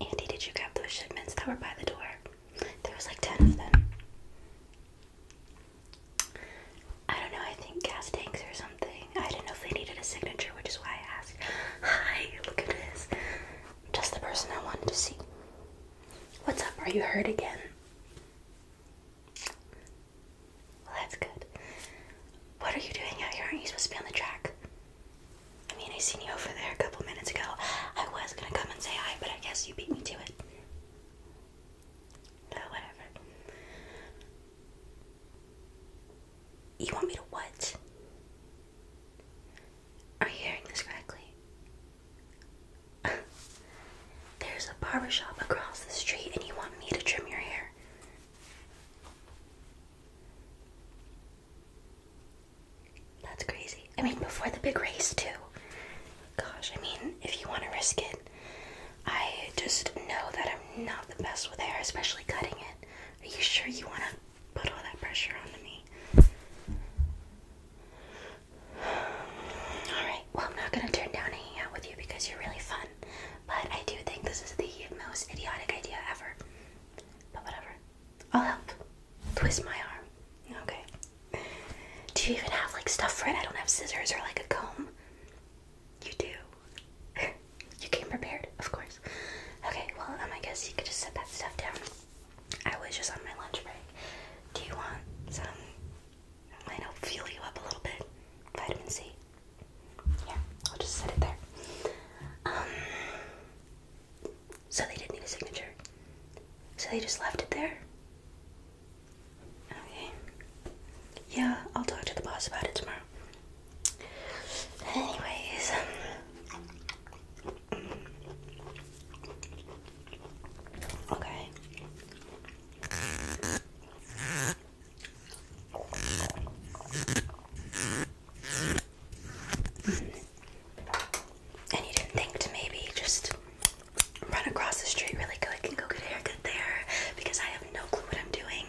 Andy, did you grab those shipments that were by the door? There was like 10 of them. I don't know, I think gas tanks or something. I didn't know if they needed a signature, which is why I asked. Hi, look at this. Just the person I wanted to see. What's up? Are you hurt again? Well, that's good. What are you doing out here? Aren't you supposed to be on the track? I mean, I seen you over there a couple minutes ago. I was gonna come and say hi, but I guess you beat me to it. No, whatever. You want me to what? Are you hearing this correctly? There's a barbershop across the street, and you want me to trim your hair? That's crazy. I mean, before the big race, too. Gosh, I mean, if you want to risk it, I just know that I'm not the best with hair, especially cutting it. Are you sure you want to put all that pressure onto me? Alright, well, I'm not going to turn down hanging out with you because you're really fun, but I do think this is the most idiotic idea ever. But whatever. I'll help twist my arm. Okay. Do you even have like stuff for it? I don't have scissors or like a comb. You do. you came prepared, of course. Okay, well, um, I guess you could just set that stuff down. I was just on my lunch break. Do you want some? Might help fuel you up a little bit. Vitamin C. Yeah, I'll just set it there. Um, so they didn't need a signature. So they just left it there? Okay. Yeah, I'll talk to the boss about it tomorrow. Anyways, okay. And you didn't think to maybe just run across the street really quick and go get a haircut there because I have no clue what I'm doing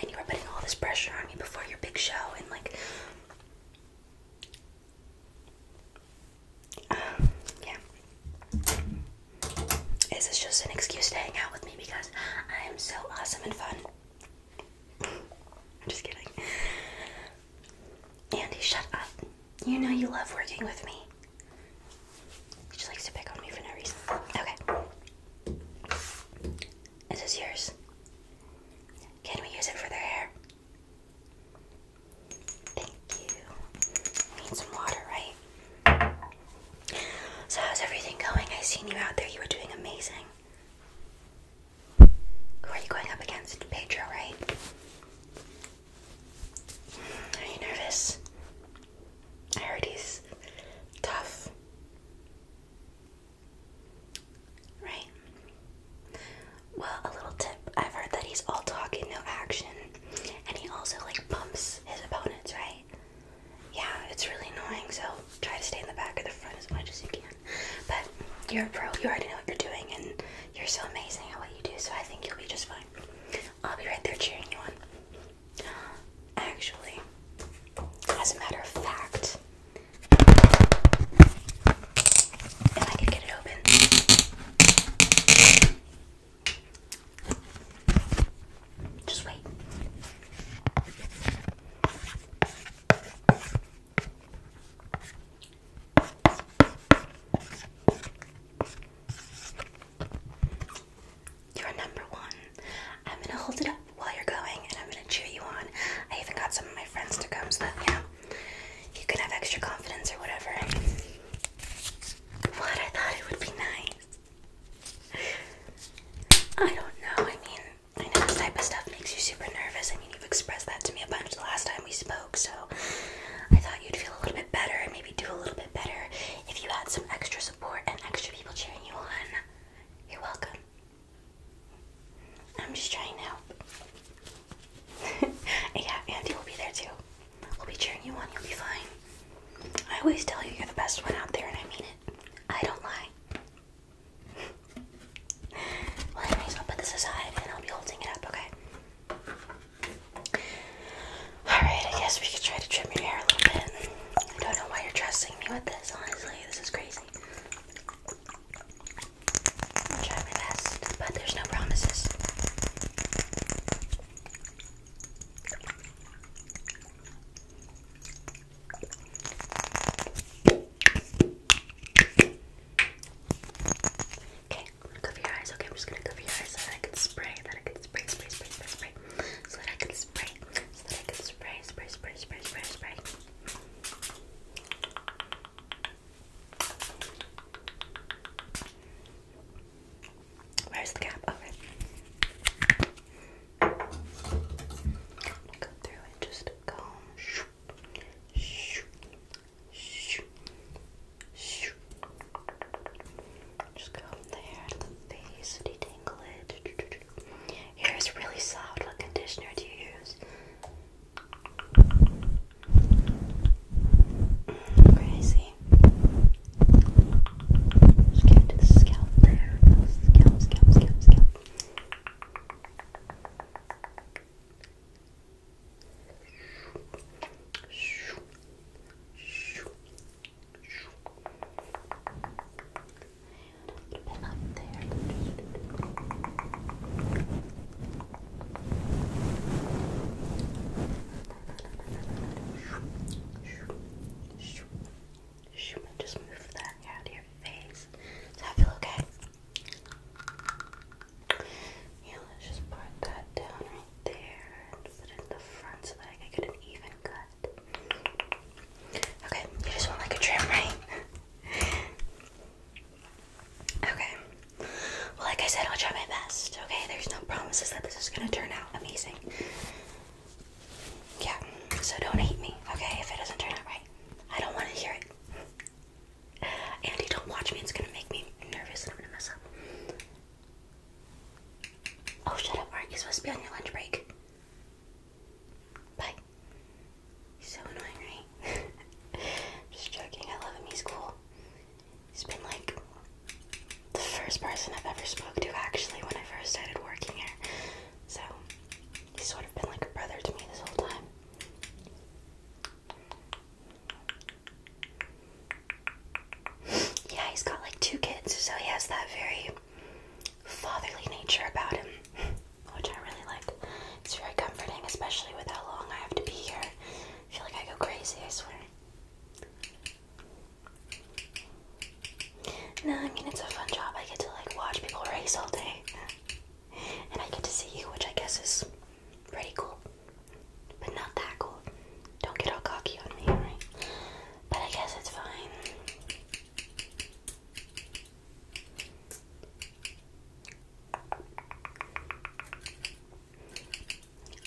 and you were putting all this pressure on me before your big show and like um, yeah. Is this just an excuse to hang out with me because I am so awesome and fun? I'm just kidding. Andy, shut up. You know you love working with me. She likes to pick on me for no reason. Okay. Is this yours? Can we use it for their hair? Thank you. I need some water, right? So how's everything going? I seen you out there. You were doing amazing are you going up against? Pedro, right? Are you nervous? I heard he's tough. Right? Well, a little tip. I've heard that he's all talk and no action. And he also like pumps his opponents, right? Yeah, it's really annoying, so try to stay in the back or the front as much as you can. But you're a pro, you already know what you're doing, and you're so amazing at what you do, so I think you'll be just fine. I'll be right there cheering you on. Actually, as a matter of fact, if I could get it open. Just wait. You're number one. I'm gonna hold it up while you're going and I'm gonna cheer you on. I even got some of my friends to come so yeah, you can have extra confidence or whatever. What? I thought it would be nice. I don't know. I mean, I know this type of stuff makes you super nervous. I mean, you've expressed that to me a bunch the last time we spoke, so I thought you'd feel a little bit better and maybe do a little bit better if you had some extra support and extra people cheering you on. You're welcome. I'm just trying to help. yeah, Andy will be there too. We'll be cheering you on. You'll be fine. I always tell you you're the best one out there, and I mean it. I don't lie well, anyways, I'll put this aside and I'll be holding it up, okay? Alright, I guess we could try to trim your hair a little bit. I don't know why you're trusting me with this, honestly. This is crazy. I'll try my best, but there's no promises. Okay, cover your eyes. Okay, I'm just gonna cover your eyes so that I can spray, that I can spray, spray, spray, spray, spray, so that I can spray, so that I can spray, spray, spray, spray, spray, spray. Where's the cap? Over. I'm gonna go through and just go. Just go from there to the face, detangle it. Hair is really soft. What conditioner do you use? Mm, crazy. Just get to the scalp there. Scalp, scalp, scalp, scalp a little bit up there. Just move that out of your face. Does that feel okay? Yeah, let's just part that down right there and put in the front so that I get an even cut. Okay, you just want like a trim, right? okay. Well, like I said, I'll try my best, okay? There's no promises that this is gonna turn out amazing. Yeah, so don't hate me, okay, if it doesn't turn out right. I don't want to hear it. Andy, don't watch me. It's gonna make me nervous and I'm gonna mess up. Oh, shut up, Mark. You're supposed to be on your lunch break. Bye. He's so annoying, right? Just joking. I love him. He's cool. He's been like the first person I've ever spoke to actually when I first started working here. So he's sort of been like a brother to me this whole time. Yeah, he's got like two kids, so he has that very fatherly nature about him, which I really like. It's very comforting, especially with how long I have to be here. I feel like I go crazy, I swear. No, I mean, it's a fun job. I get to like watch people race all day and I get to see you, which I guess is pretty cool, but not that cool. Don't get all cocky on me, alright? But I guess it's fine.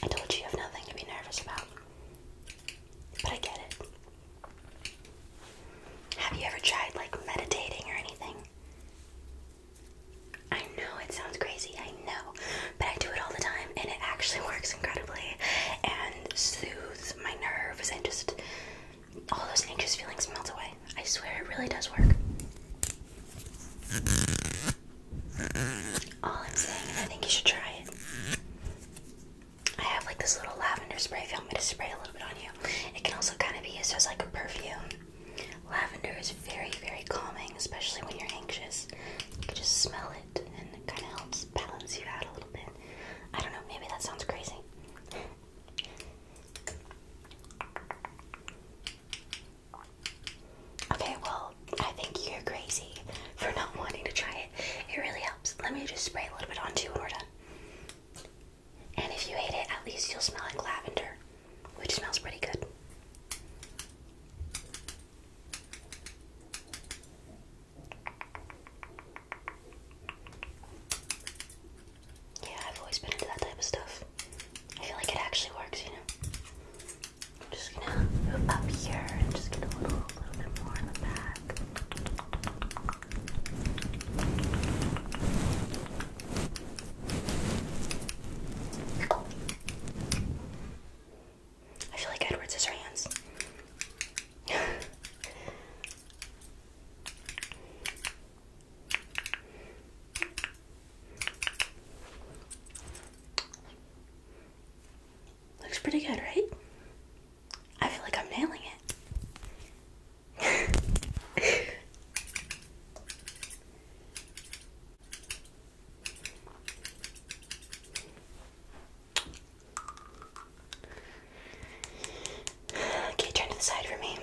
I told you you have nothing to be nervous about, but I get it. Have you ever tried like meditating or anything? I know it sounds crazy, I know, but I do it all the time and it actually works incredibly and soothes my nerves and just all those anxious feelings melt away. I swear it really does work. All I'm saying I think you should try it. I have like this little lavender spray if me to spray a little bit on you. It can also kind of be used as like a perfume. Lavender is very, very calming, especially when you're anxious. You can just smell it and it kind of helps balance you out a little bit. I don't know, maybe that sounds crazy. Okay, well, I think you're crazy for not wanting to try it. It really helps. Let me just spray a little bit on you when we're done. And if you hate it, at least you'll smell like lavender, which smells pretty good. Yeah, I've always been into that type of stuff. I feel like it actually works, you know. I'm just gonna move up here and just get a little, little bit more in the back. I feel like Edward Scissorhands. Looks pretty good, right? I feel like I'm nailing it okay, turn to the side for me.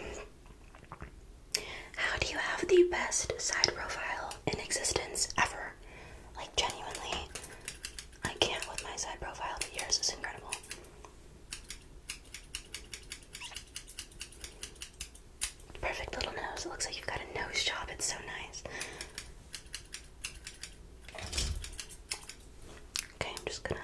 How do you have the best side profile in existence ever? Like, genuinely, I can't with my side profile, but yours is incredible. Perfect little nose. It looks like you've got a nose job. It's so nice. Okay, I'm just gonna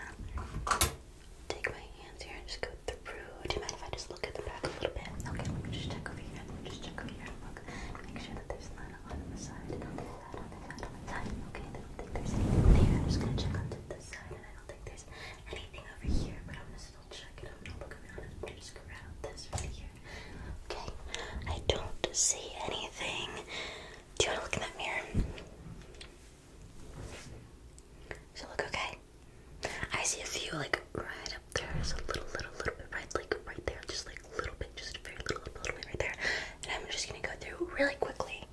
take my hands here and just through. Do you mind if I just look at the back a little bit? Okay, let me just check over here. just check over here look. Make sure that there's none on the side. I don't think that, I don't Okay, I don't think there's anything there. I'm just gonna check on this side and I don't think there's anything over here, but I'm gonna still check it. I'm gonna look around and just grab this right here. Okay, I don't see anything. Do you wanna look in that mirror? Does it look okay? I see a few like right up there. There's a little, little, little bit right, like right there, just like a little bit, just a very little, little bit right there. And I'm just gonna go through really quickly.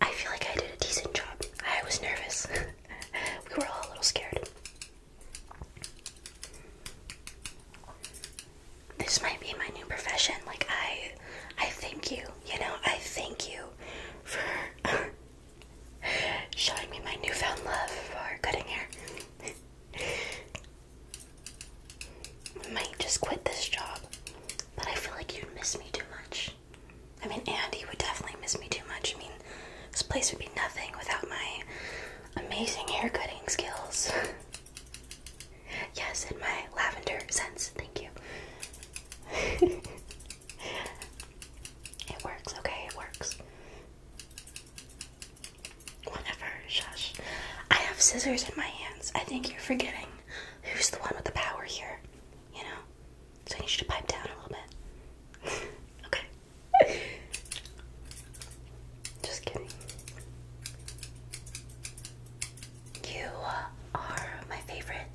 I feel like I did a decent job. I was nervous. we were all a little scared. This might be my new profession. Like I I thank you, you know, I thank you for showing me my newfound love for cutting hair. I might just quit this job, but I feel like you'd miss me too much. I mean, Andy would definitely miss me too much. I mean, this place would be nothing without my amazing hair cutting skills. yes, and my lavender scents. Thank you. it works, okay? It works. Whatever, shush. I have scissors in my hands. I think you're forgetting who's the one with the power here, you know? So I need you to pipe down a little bit. okay. Just kidding. You are my favorite.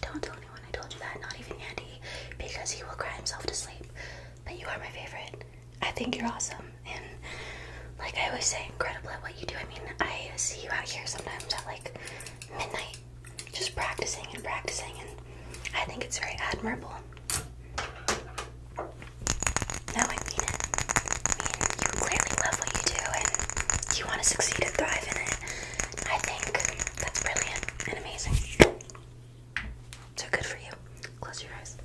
Don't tell anyone I told you that, not even Andy, because he will cry himself to sleep. But you are my favorite. I think you're awesome, and like I always say, incredible at what you do. I mean, I see you out here sometimes at like midnight, just practicing and practicing, and I think it's very admirable. No, I mean it. I mean, you clearly love what you do, and you want to succeed and thrive in it. I think that's brilliant and amazing. So good for you. Close your eyes.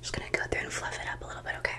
Just gonna go through and fluff it up a little bit, okay?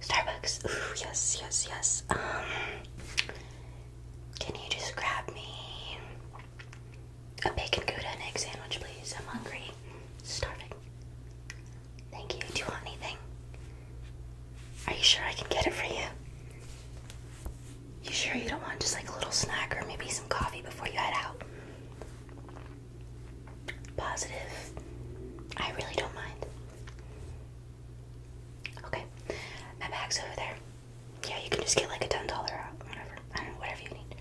Starbucks. Ooh, yes, yes, yes. Um, can you just grab me a bacon gouda and egg sandwich, please? I'm hungry, starving. Thank you. Do you want anything? Are you sure I can get it for you? You sure you don't want just like a little snack or maybe some coffee before you head out? positive, I really don't mind. Okay, my bag's over there. Yeah, you can just get like a ten dollar out, whatever. I don't know, whatever you need.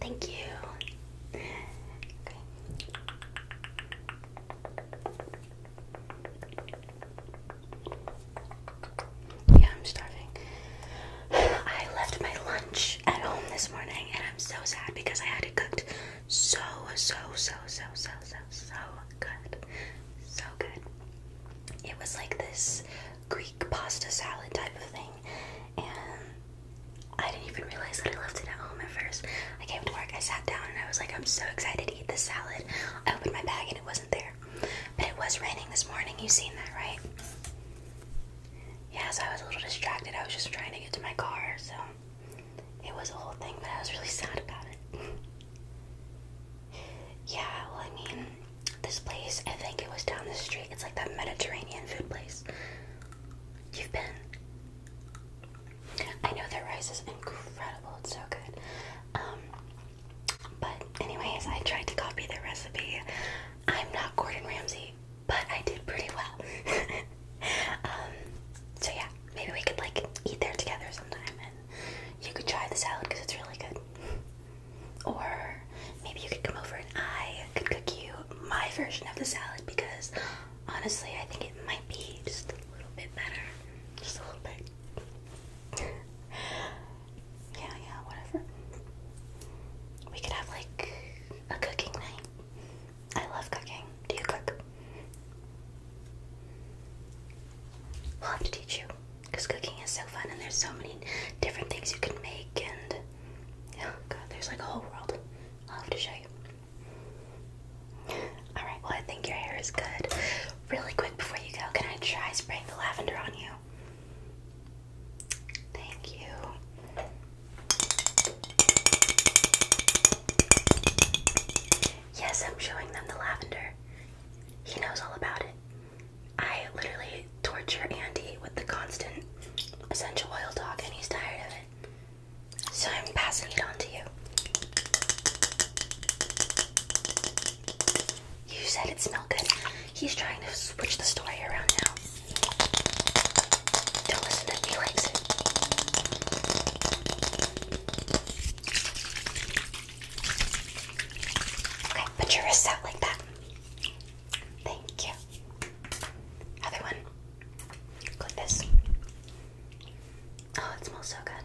Thank you. Yeah, I'm starving. I left my lunch at home this morning and I'm so sad because I had it cooked so so so so so so so good. So good. It was like this Greek pasta salad type of thing and I didn't even realize that I left it at home at first. I came to work, I sat down and I was like, I'm so excited to eat this salad. I opened my bag and it wasn't there. But it was raining this morning, you've seen that, right? Yes, yeah, so I was a little distracted. I was just trying to get to my car, so it was a whole thing, but I was really sad about it. yeah, well, I mean, this place, I think it was down the street. It's like that Mediterranean food place. You've been. I know their rice is incredible, it's so good. Um, but, anyways, I tried to copy their recipe. I'm not Gordon Ramsay, but I did pretty well. Um, so yeah, maybe we could like eat there together sometime, and you could try the salad because it's really good. Or maybe you could come over and I could cook you my version of the salad because honestly, I think it might be just a little bit better, just a little bit. yeah, yeah, whatever. We could have like a cooking night. I love cooking. Do you cook? i will have to teach you because cooking is so fun and there's so many different things you can make and oh there's like a whole world. I'll have to show you. Alright, well I think your hair is good. Really quick before you go, can I try spraying the lavender on you? Thank you. Yes, I'm showing them the lavender. He knows all about it. I literally torture Andy with the constant essential oil talk, and he's tired of it. So I'm passing it on to you. You said it smelled good. He's trying to switch the story around now. Don't listen if he Okay, put your wrists out like that. Thank you. Other one. Click this. Oh, it smells so good.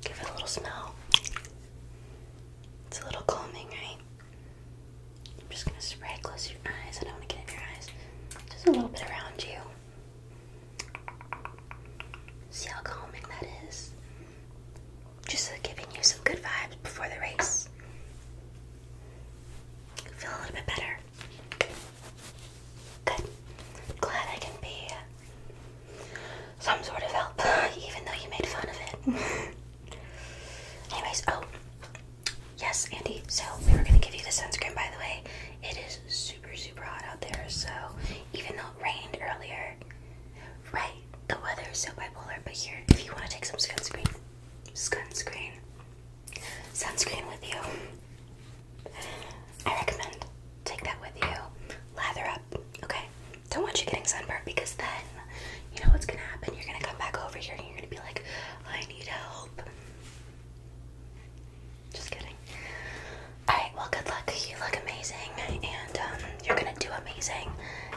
Give it a little smell. It's a little calming, right? I'm just gonna spray close your eyes. I don't want to get in your eyes. Just a little bit around you. See how calming that is? Just giving you some good vibes before the race. Feel a little bit better. Good. Glad I can be some sort of help, even though you made fun of it. Anyways, oh, Yes, Andy. So we are gonna give you the sunscreen by the way. It is super super hot out there, so even though it rained earlier, right, the weather is so bipolar, but here if you wanna take some sunscreen. Sunscreen. Sunscreen with you. I recommend take that with you. Lather up, okay? Don't want you getting sunburned because then you know what's gonna happen. You're gonna come back over here and you're gonna be like, I need help. Just kidding. Alright, well, good luck. You look amazing, and um, you're gonna do amazing.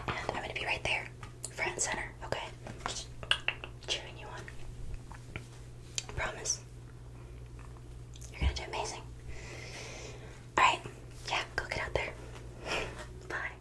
And I'm gonna be right there, front center, okay? Just cheering you on. I promise. You're gonna do amazing. Alright, yeah, go get out there. Bye.